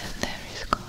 And there is God.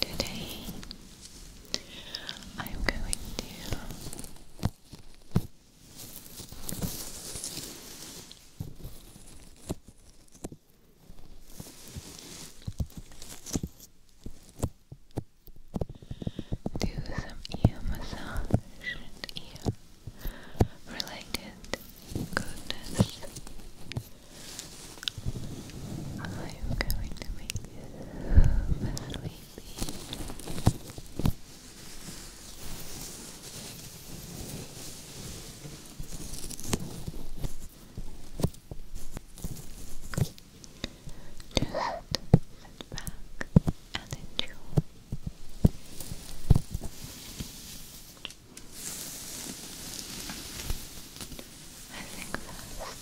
Today, I'm going to do some ear massage and ear related goodness. I'm going to make you super sleepy. sit back and enjoy. I think first I'll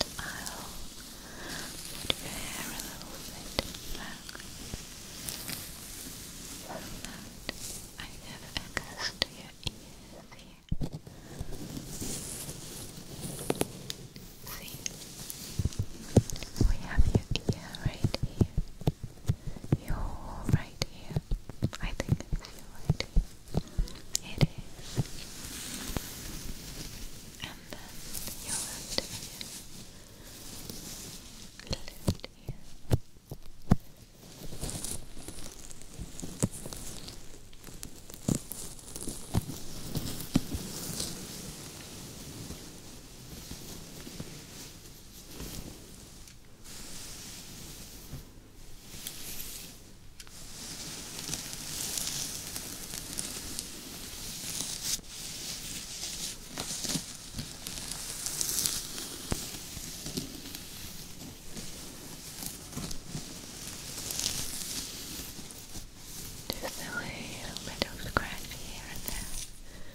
put your hair a little bit back so that I have access to your ears here. See, we have your ear right here your right ear. I think it's your right ear. It is. And then your left ear. Left ear. Right. Just a little bit of scratch here and there.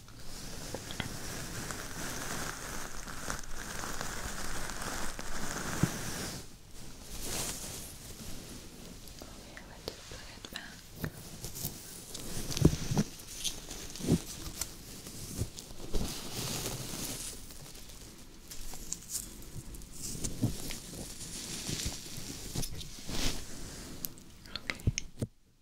Okay, let's put it back. Okay.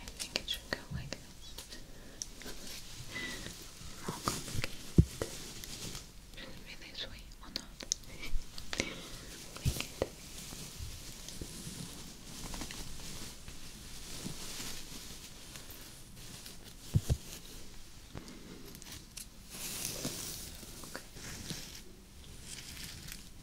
I think it should go like this. More complicated. Should it be this way or not? like it. Okay.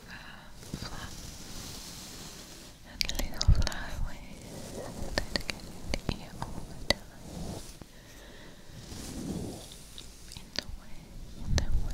fly, and little flyaways that get in the all the time. In the way, in the way.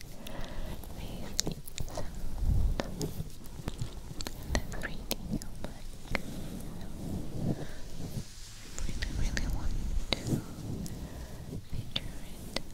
these sounds in every video, like, so I really, want to feature it a little, a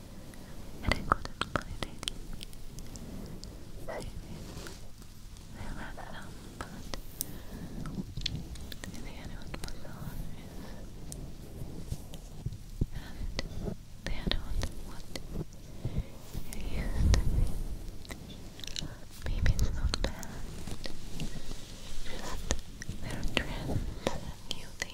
and included validating saving their laptop, but in the end it was and the other what it used Maybe it's not bad, just their trends and new things.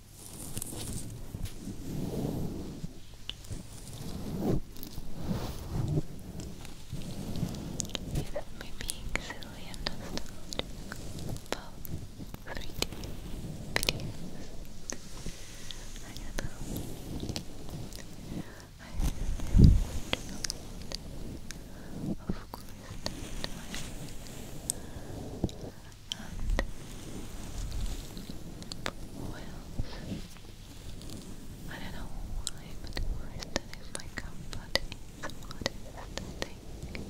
That may be silly and nostalgic 3D I know. I really want to Of course, and who I don't know why, but why is that is my comfort is what is the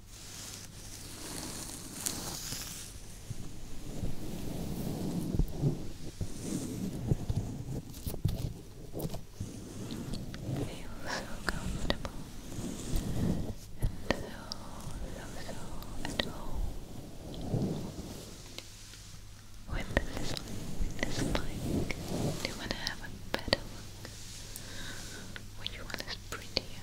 Feel so comfortable and so, so, so at home with this, with this mic. Do you want to have a better look? Which one is prettier?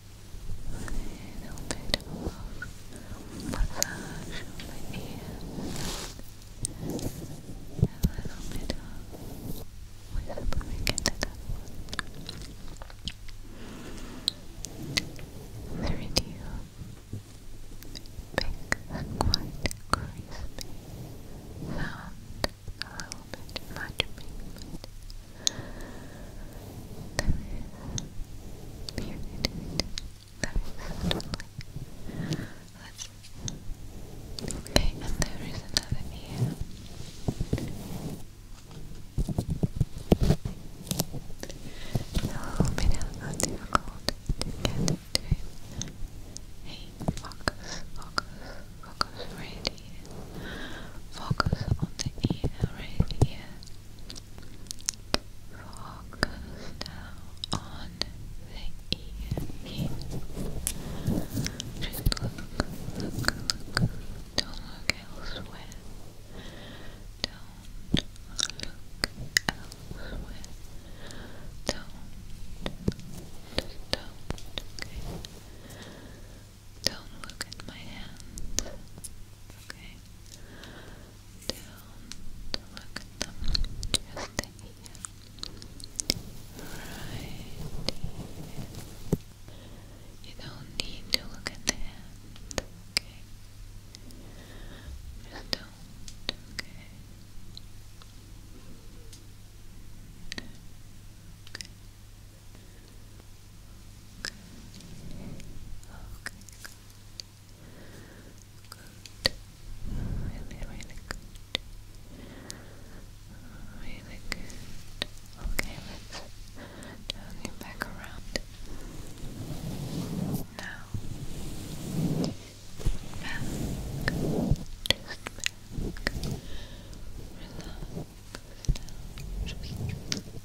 a little bit of massage of the ears, a little bit of whispering into that one. big and quite crispy sound, moment, much movement. There is Let's okay, and there is another ear. A little bit of difficult to get to it. Hey, focus, focus, focus, ready. Focus on the ear, right ear. Focus now on the ear Just look, look, look. Don't look elsewhere. Don't look elsewhere. Don't. Just don't. Okay. Don't look at my hand. Okay. Don't look at them. Just here. Right You don't need to look at the hand. Okay. Just don't. Okay. Okay, good. Really, good. Really good. Okay, let's turn you back around. Now, just Relax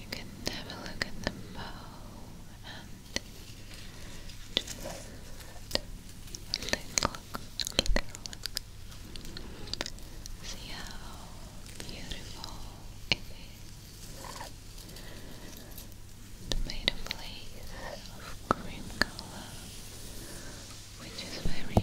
You can have a look at the bow and just a look, look. See how beautiful it is. It made a place of cream color, which is very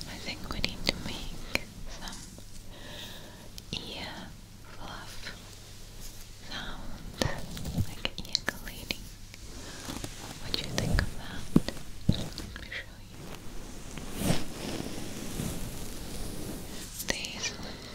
I think we need to make some ear fluff sound, like ejaculating. What do you think of that? Let me show you. These pull-ups.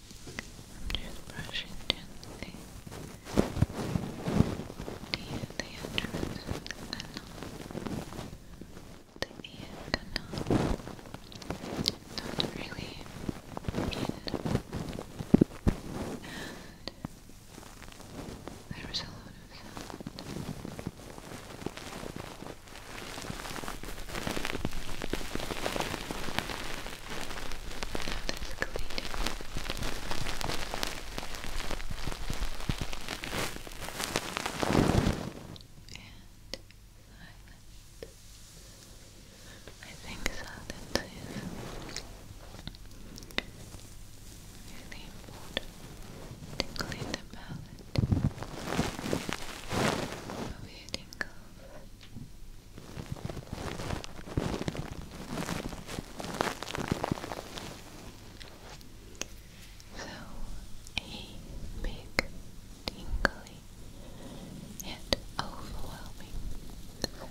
I'm just brushing gently the entrance of the canal, the ear canal, not really in, and there is a lot of sound. I think silence is really important to clean the palate of your tingles. So a big, tingly, and overwhelming sound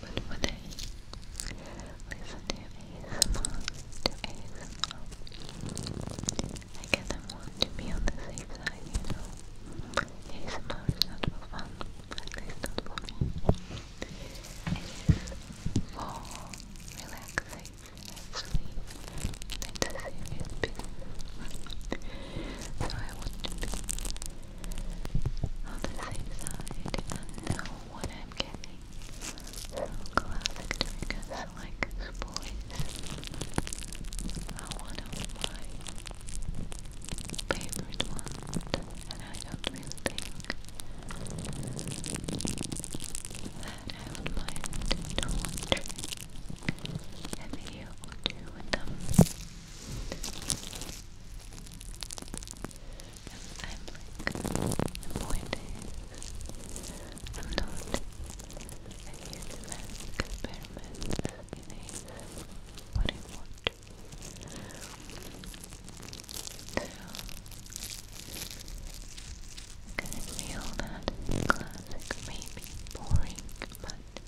But would listen to ASMR? ASMR? I guess I want to be on the safe you ASMR is not for fun, at not for me. It is for relaxation, actually. That's a serious business. So I want to be on the safe side and know what I'm getting. So classic triggers like spoils are one of my favorite ones and I don't think that I would mind doing a video or two with them. I'm like, the point is, I'm not a huge mess compared with what I want. So, feel that classic may boring, but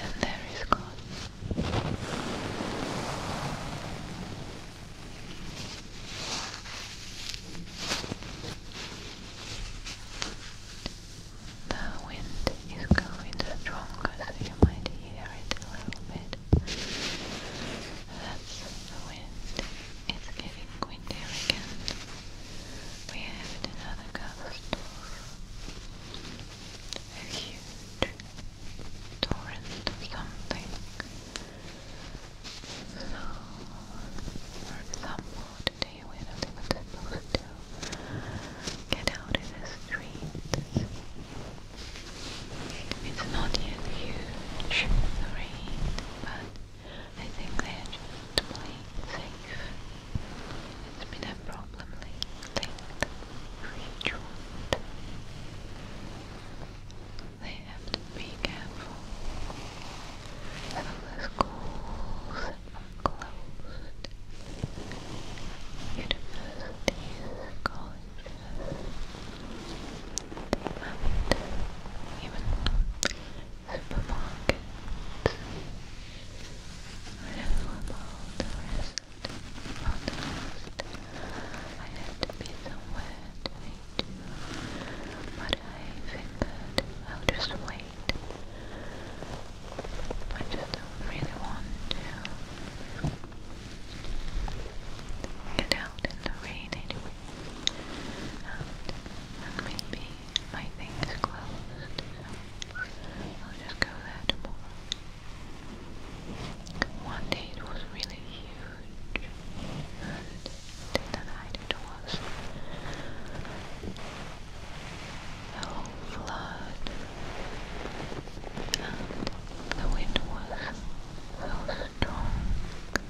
And there is God. The wind is going stronger, so you might hear it a little bit. That's the wind. It's getting windier again. We have another gust a you torrent something. So, for example, today we're not even supposed get out in the streets. It's not yet huge, the but I think they're just playing safe. It's been a problem lately They have to be careful. So the schools are closed. Universities, colleges, even supermarkets. I don't know about of the rest. I had to be somewhere to meet you, but I figured I'll just wait. I just do really want to get out in the rain anyway. and maybe my thing is closed, I'll just go there tomorrow. One day it was really huge, and then the night it was the flood, and the wind was so strong that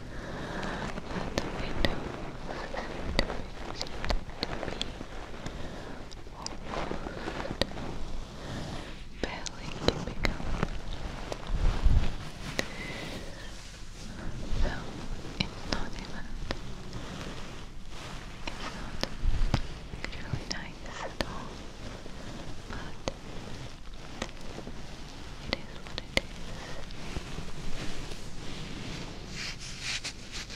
the window seemed to be belly can become no, it's not even it's not really nice at all but it is what it is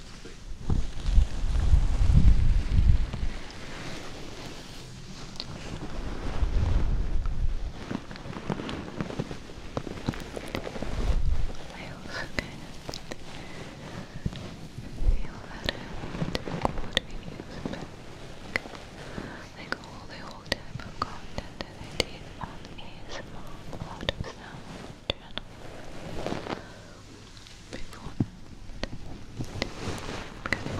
I also kind feel that to reviews back. Like all the old type of content that I did on a small lot channel. Because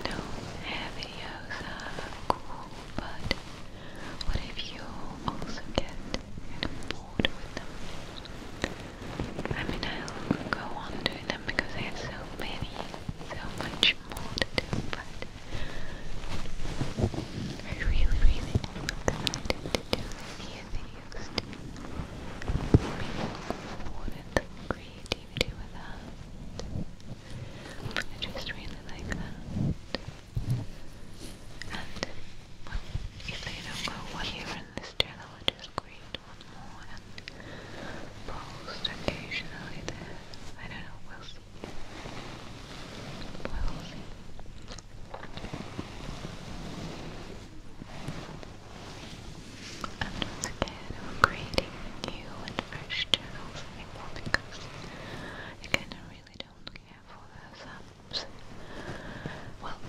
no heavy yogas are cool, but what if you also get bored with them? I mean, I'll go on doing them because I so many, so much more to do, but I really, really am excited to do this year thing used people I just really like that. And if they don't go well here on this channel, I just create one more and post occasionally there. I don't know, will see. will see. And do I'm creating new and fresh channels anymore because again, I really don't care for the thumbs. Well,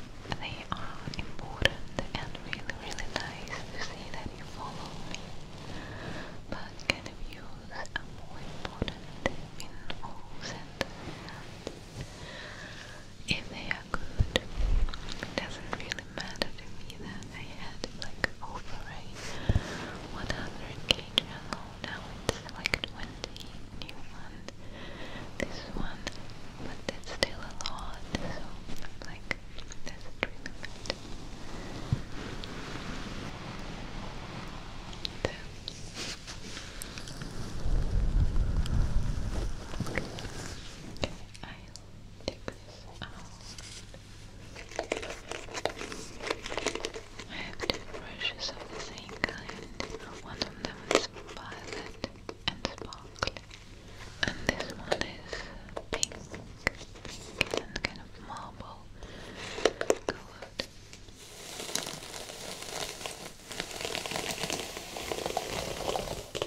they are important and really, really nice to see that you follow me. But views are more important in all if they good. It doesn't really matter to me that I had like over a 100k now it's like 20 new one, this one, but that's still a lot, so like, doesn't really matter. Okay, I'll take this out. I have two brushes of the same kind. One of them is violet and sparkly, and this one is pink, and kind of marble colored.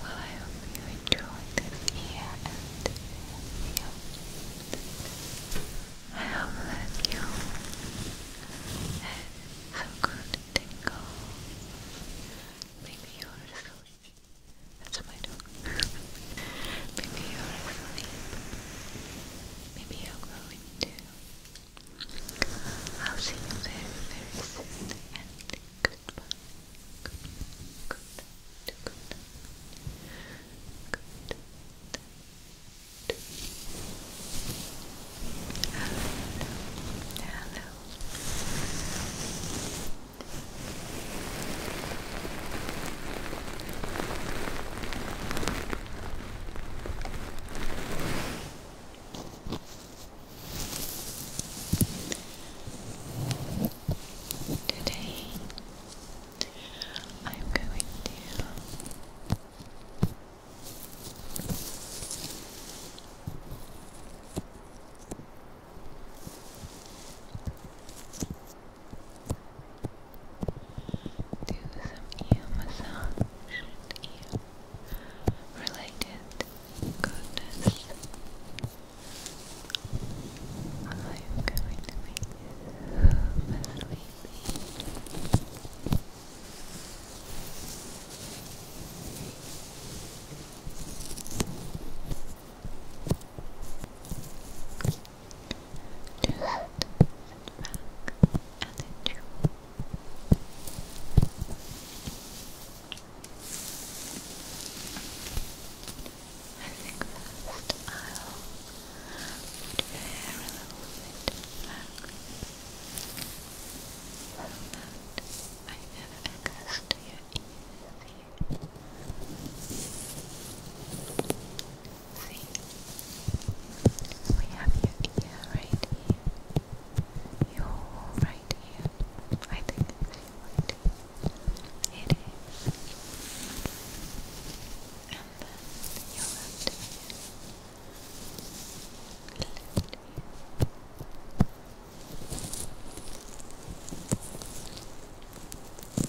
Well, I hope you enjoyed this year and I hope that you had some good tingle. Maybe you are asleep. That's my Maybe you're asleep. Maybe I'll see you very, very And goodbye. Good, good, good, good, good. Hello. Hello. Today I'm going to do some ear related goodness. I'm going to make you just sit I think first I'll put your hair little bit back that I never access to your see, we have your ear right here, your right ear, I think it's right it is, and then your left ear, left ear.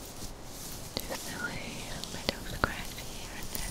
Just a bit scratch here and there.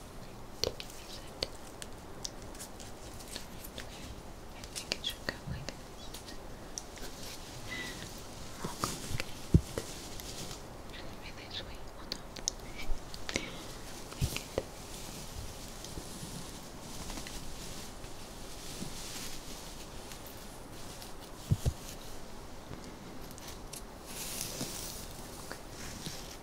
I think it should go like this. More complicated. Should Okay.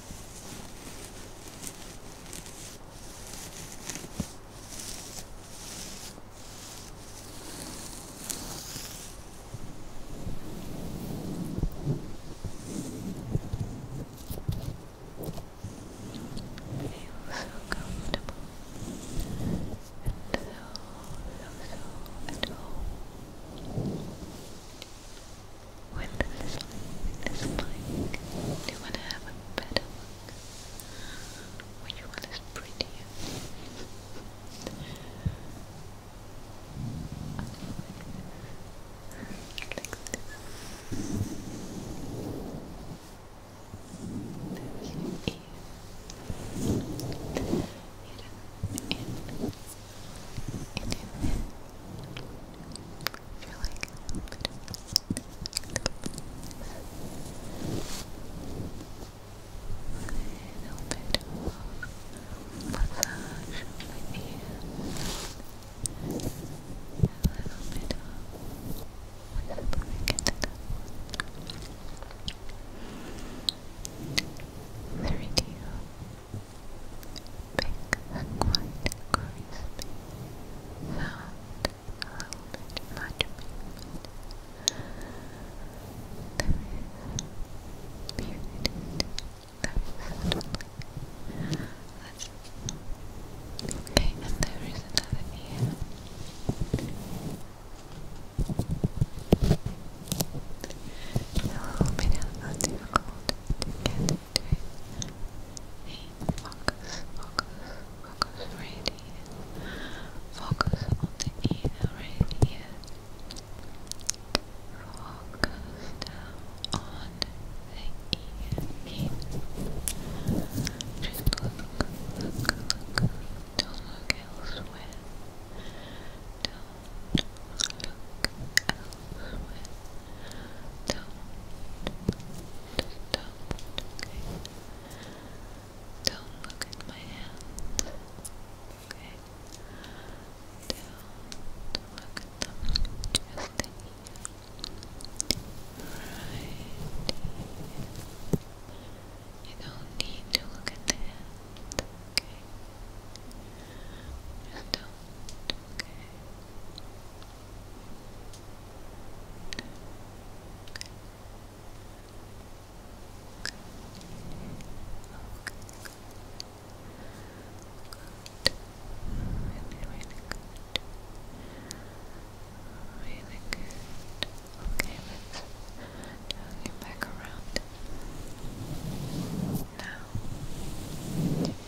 so comfortable and so, so, so at home. When is like, when is like, do you want to have a better look? Which one is prettier? like this. There's your ear. Hidden in, in feel like a little bit of massage on my a little bit of whispering into the water very deep big and quite much There is beauty that is Let's Okay, and there is another ear. A little bit difficult center. And focus, focus, focus right Focus on the ear right here. Focus on the ear. Just look, look, look. Don't look elsewhere. Don't look elsewhere. Don't just don't, okay? Don't look at my hands, okay? Don't look at them, just the ear. Right You don't need to look at the hand, okay? Just don't, okay? Really good. Okay, let's turn you back around. Now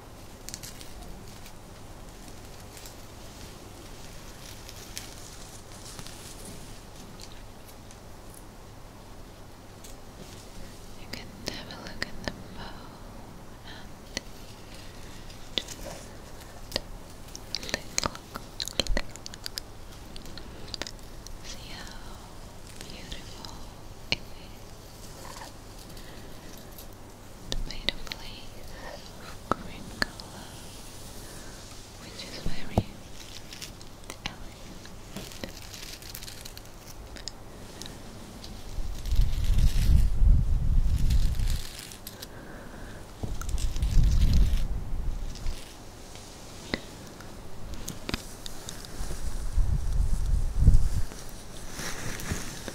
You can have look at the bow and just little, See how beautiful it is made a place of green color, which is very elegant.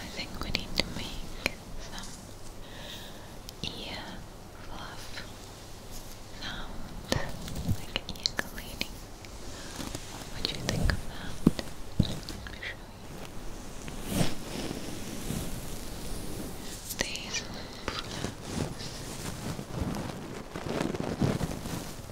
I think we need to make some ear fluff sound, like ear cleaning. What do you think of Let me show you. These pull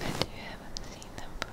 bet you haven't seen them for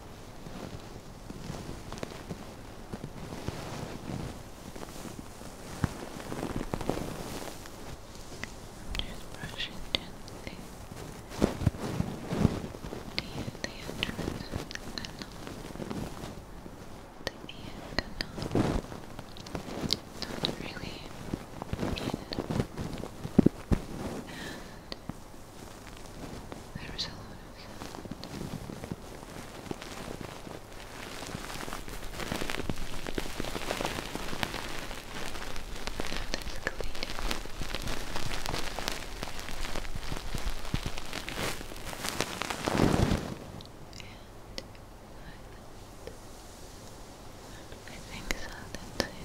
Just brush gently the entrance of the canal. The ear canal. Not really there is a lot of them. That's clean. And I think so, that's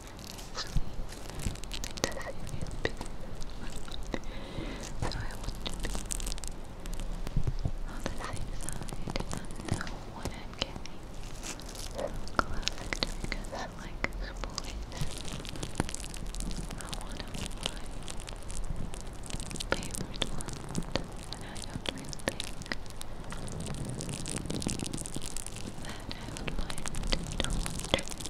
It does So I want to be on the same side and know I'm So classic triggers like spoilers are one of my favorite ones and I don't think that I would mind to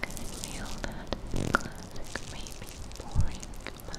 can feel that classic may boring, but for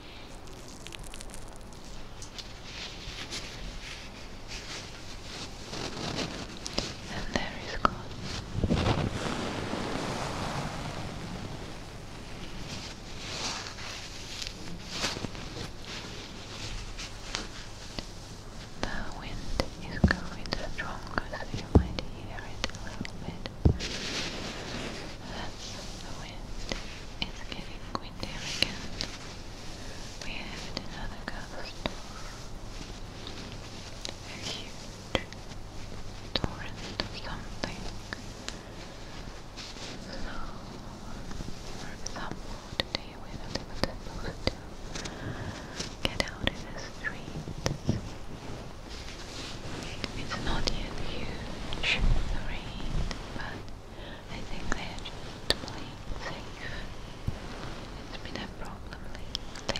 And there is God. The wind is going stronger, so you might hear it a little bit. The wind is getting windier again. We have another ghost. huge torrent of something. So, for example, today we're not even get out in the streets. It's not yet huge, the rain, but I think they are just playing safe. It's been a problem lately that They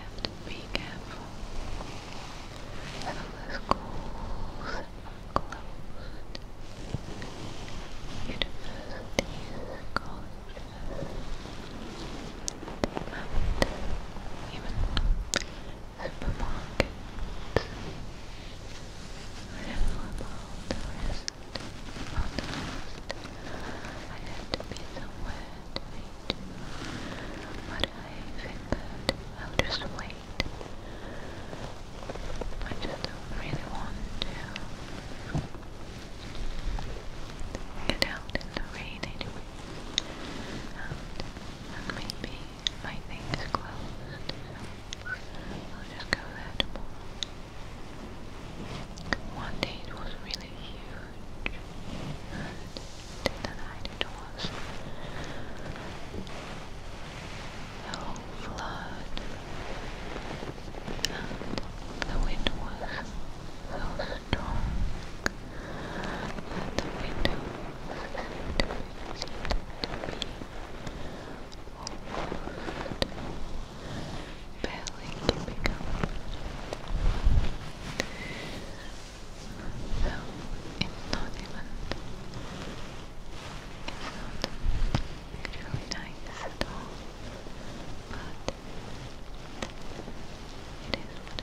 have to be careful. So the schools closed. Universities, colleges, I don't know about the rest of the rest. I had to be somewhere to but I figured I'll just wait. I just really want to get out in the rain anyway and maybe my thing is closed, I'll just go there tomorrow. One day it was really huge, and the night was the flood, and the wind was so strong at the windows and visit me almost barely keeping up. No, it's not even, it's not actually nice at all, but it is what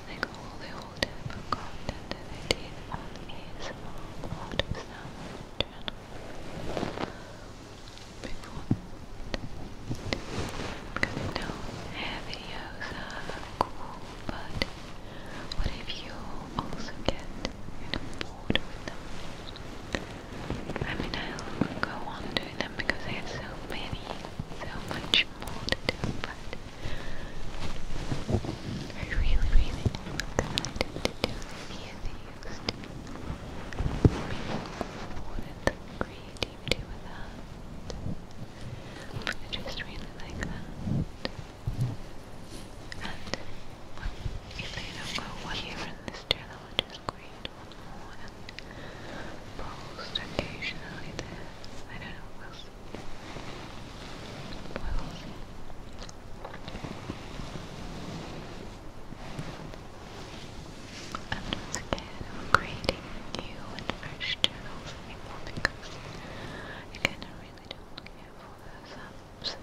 like all the old type of content that I did on a small because I know hair are cool, but what if you also get bored with them? I mean, I'll go on doing them because I so many, so much more to do, but I really, really kind to do any of these. People creativity with that. I just really like that. And, if they don't go one year in this channel, I'll just create one more and post occasionally there. I don't know, holes. More creating new and fresh channels anymore because again I really don't care for those apps.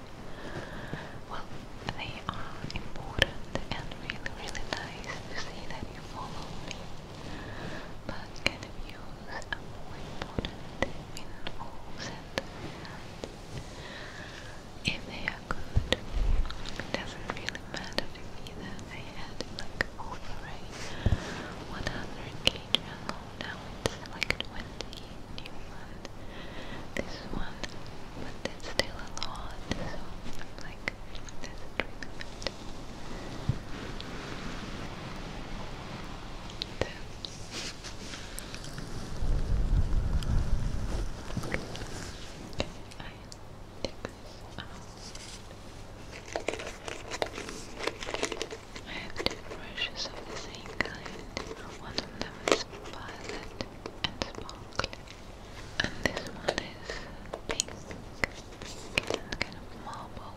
Well, they are important and really really nice to see that you follow me. But kind you are more important in all If they are good, it doesn't really matter to me that I had like over a 100 kg alone, now it's like 20 Newfoundland. This one, but that's still a lot, so i like, that's really bad take this out. I have two brushes of the same kind. One of them is violet and sparkly, and this one is pink, kind of marble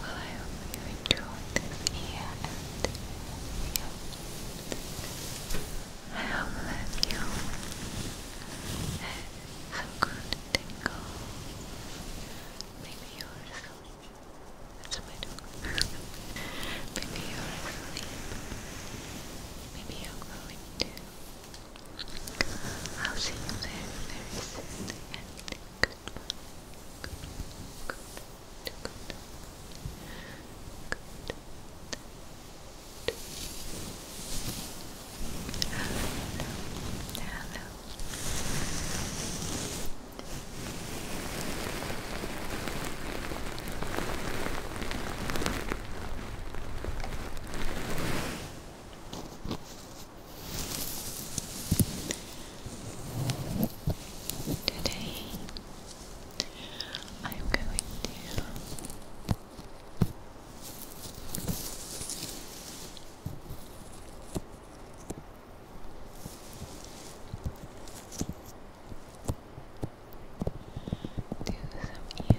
Well, I hope you enjoyed this year and yeah. I hope that you have good tingle. Maybe you are so that's I do. Maybe you Maybe you're going to. I'll see you very, very soon. And goodbye. Good, good, good, good. Hello. Hello. Today I'm going to do some ear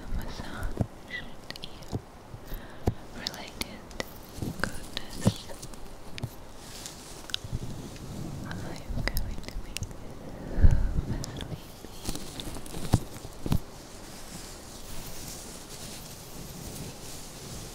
related goodness. I'm going to make this so sleepy.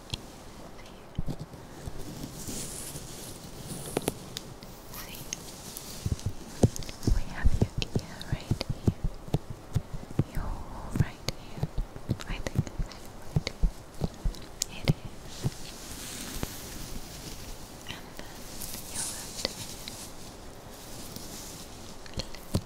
See, we have your ear right here, your wall right here. I think it's It is. And then your left Left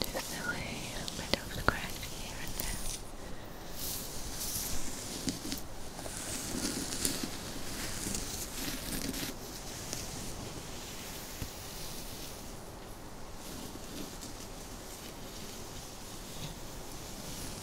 Just the way bit of scratch here and there.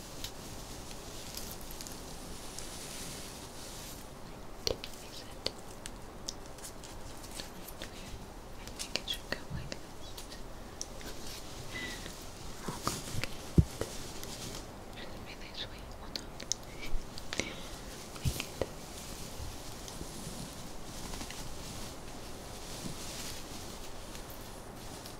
I think it should go like this. More Should be this way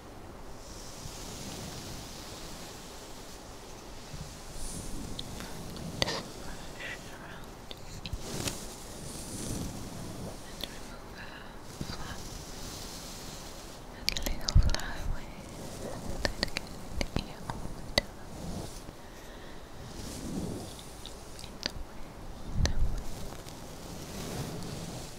Just brush around and remove a flap and little flyaways that get you all the time. In the way, the way.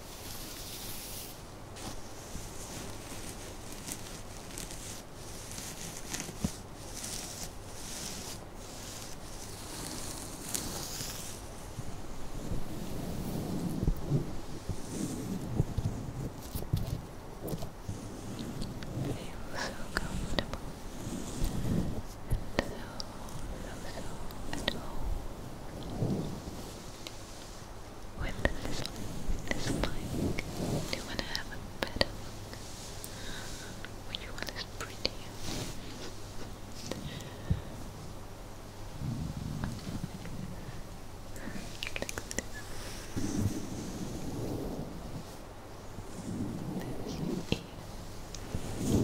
so comfortable and so, so, so at home. With this, this mic, do you want to have a better look? Which one is prettier? like this. There's your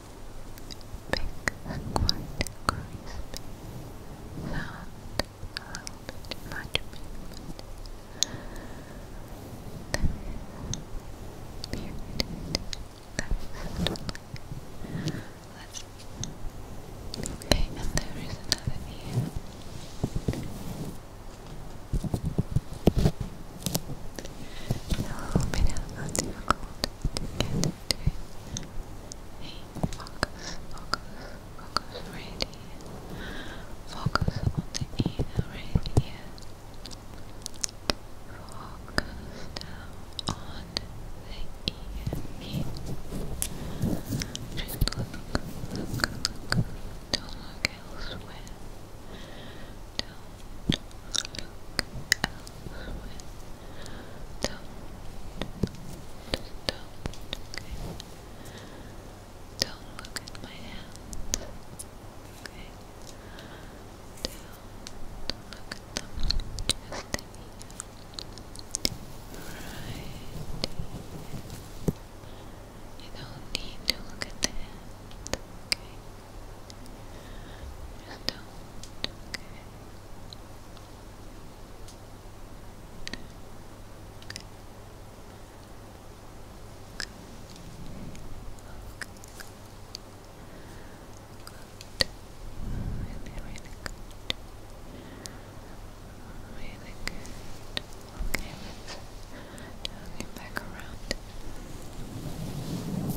Pick a quiet, crisp sound without much movement. Then, here it is. That is Let's Okay, and there is another ear. A little bit how difficult to get into it. Hey, focus, focus, focus right here. Focus on the ear right here. Focus now on the ear here. Just look, look, look. Don't look elsewhere. Don't look at my hands. Okay. Don't look at them. Just Right. You don't need to look at the hand. Okay. I don't, okay. Okay. Okay. Good. Really, really good. Really good. Okay, let's turn it back around.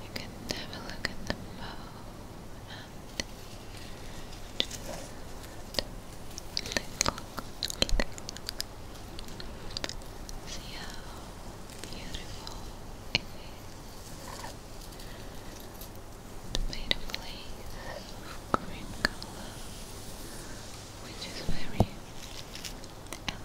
You can have a look at the bow and just little, little See how beautiful it is made of lace of green color, which is very elegant.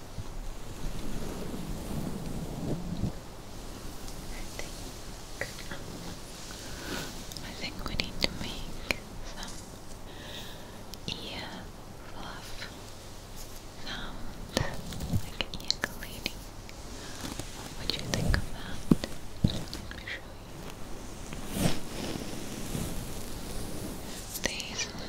I think we need to make some ear fluff sound, like ear cleaning. What do you think of that? Let me show you. These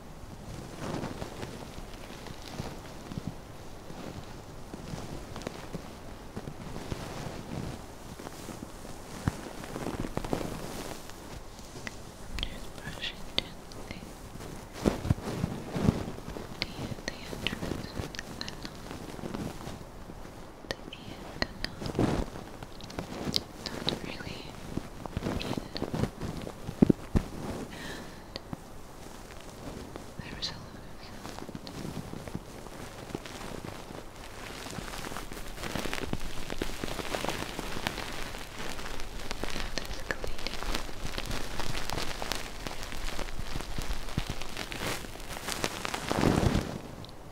Just brushing gently the entrance canal, the ear canal. Not really and there is a lot of sound. Now this cleaning.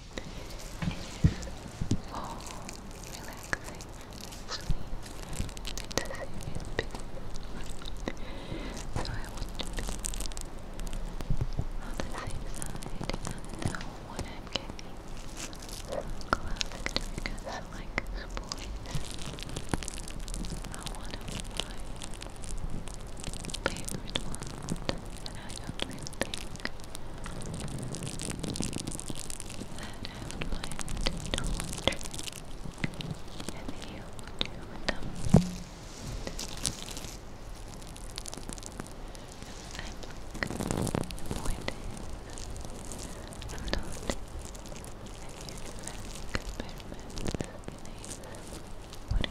is for relaxing sleep. It's a serious business. So I want to be on the safe side and know what I'm getting. Some classic triggers like sports are one of my favorite ones, and I do that I would like to wonder if you would do with I'm like pointing. I'm not a huge fan experiments. what I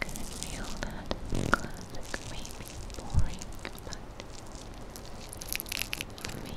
I can feel that classic may boring, but me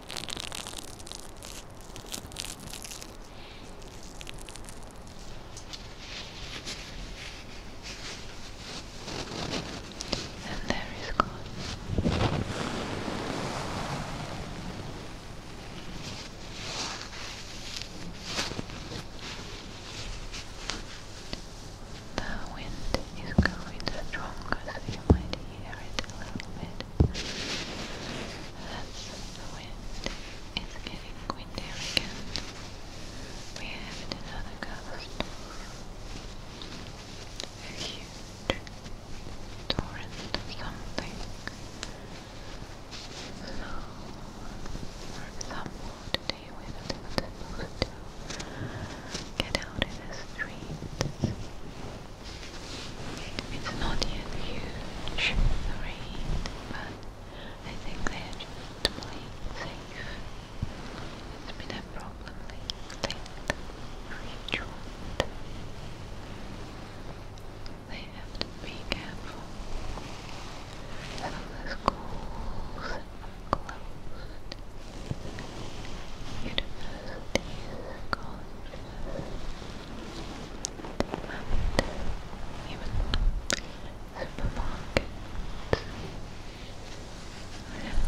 And there is God. The wind is going stronger, so you might hear it a little bit. the wind. It's getting windier again. We have another gust. huge torrent of something. So, for example, today we were supposed to get out in the streets it's not yet huge, But I think they are just safe. It's been a problem lately for have to be careful. Some of the schools closed. University College and even supermarkets wherever about the rest of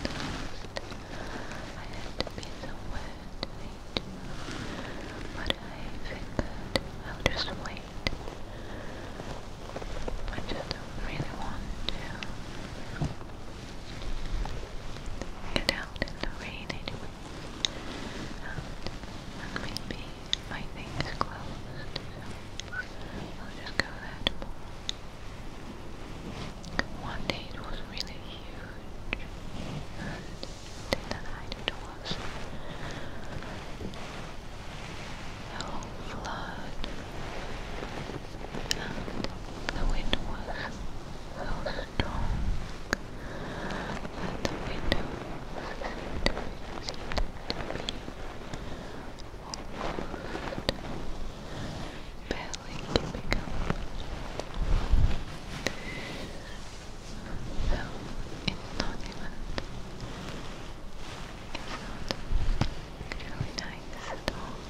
the rest I had to be somewhere to but I figured I'll just wait I just don't really want to Get out in the rain anyway. And, maybe my thing is closed, I'll just go that One day it was really huge, and in the night it was a whole flood and the wind was so strong that the window seemed to barely keeping up. So it's not even, it's not really nice at all.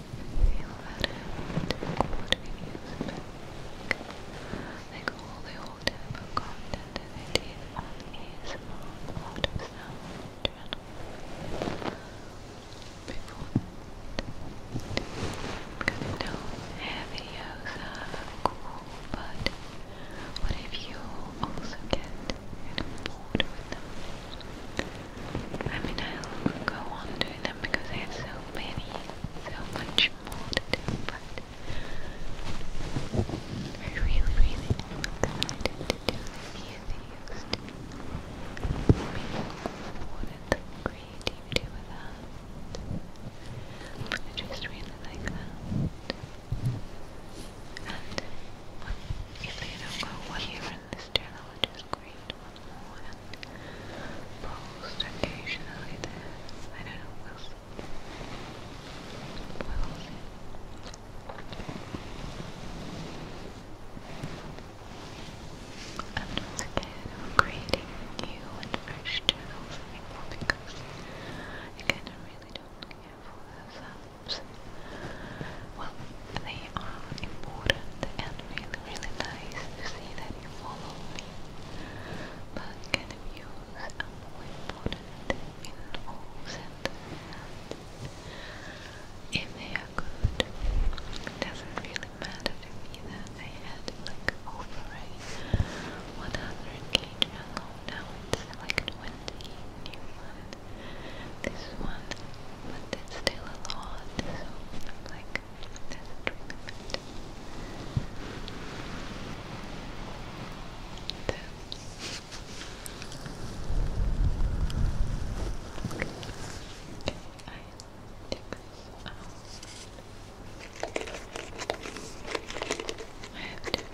feel about it? What do Like all the old type content that I did on a lot of sound channel before because you know, hair are cool, but what if you also get bored with them? I mean, I'll go on because I have so many, so much more to do, but I really, really am excited to do the few things to make what the creativity with that. I just really like that. And if they don't go well in this journal, I'll just great, one more, and post occasionally there. I don't know, we'll see. We'll see. I'm creating new and fresh channels because again, I really don't care for those Well, they are important and really really nice to see that you follow me. But can views are more important in all sentences. If they are good, it doesn't really matter to me that I had like over a 100k now like 20 new one. This one, but it's still a lot, so like back to I have two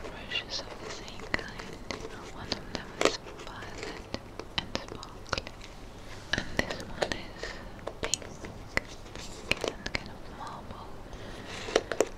brushes of the same kind. One of them is violet and sparkling and this one is pink, and kind of marble colored.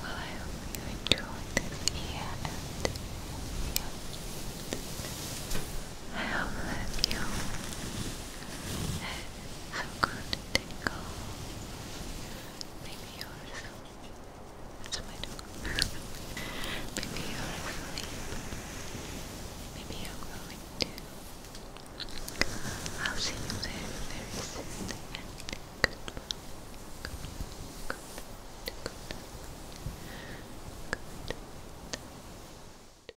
Well, I hope you enjoyed this year and video. I hope that you I'm going to tingle. Maybe you That's my dog. Maybe you're asleep. Maybe you I'll see you very, very Good, good, good, good.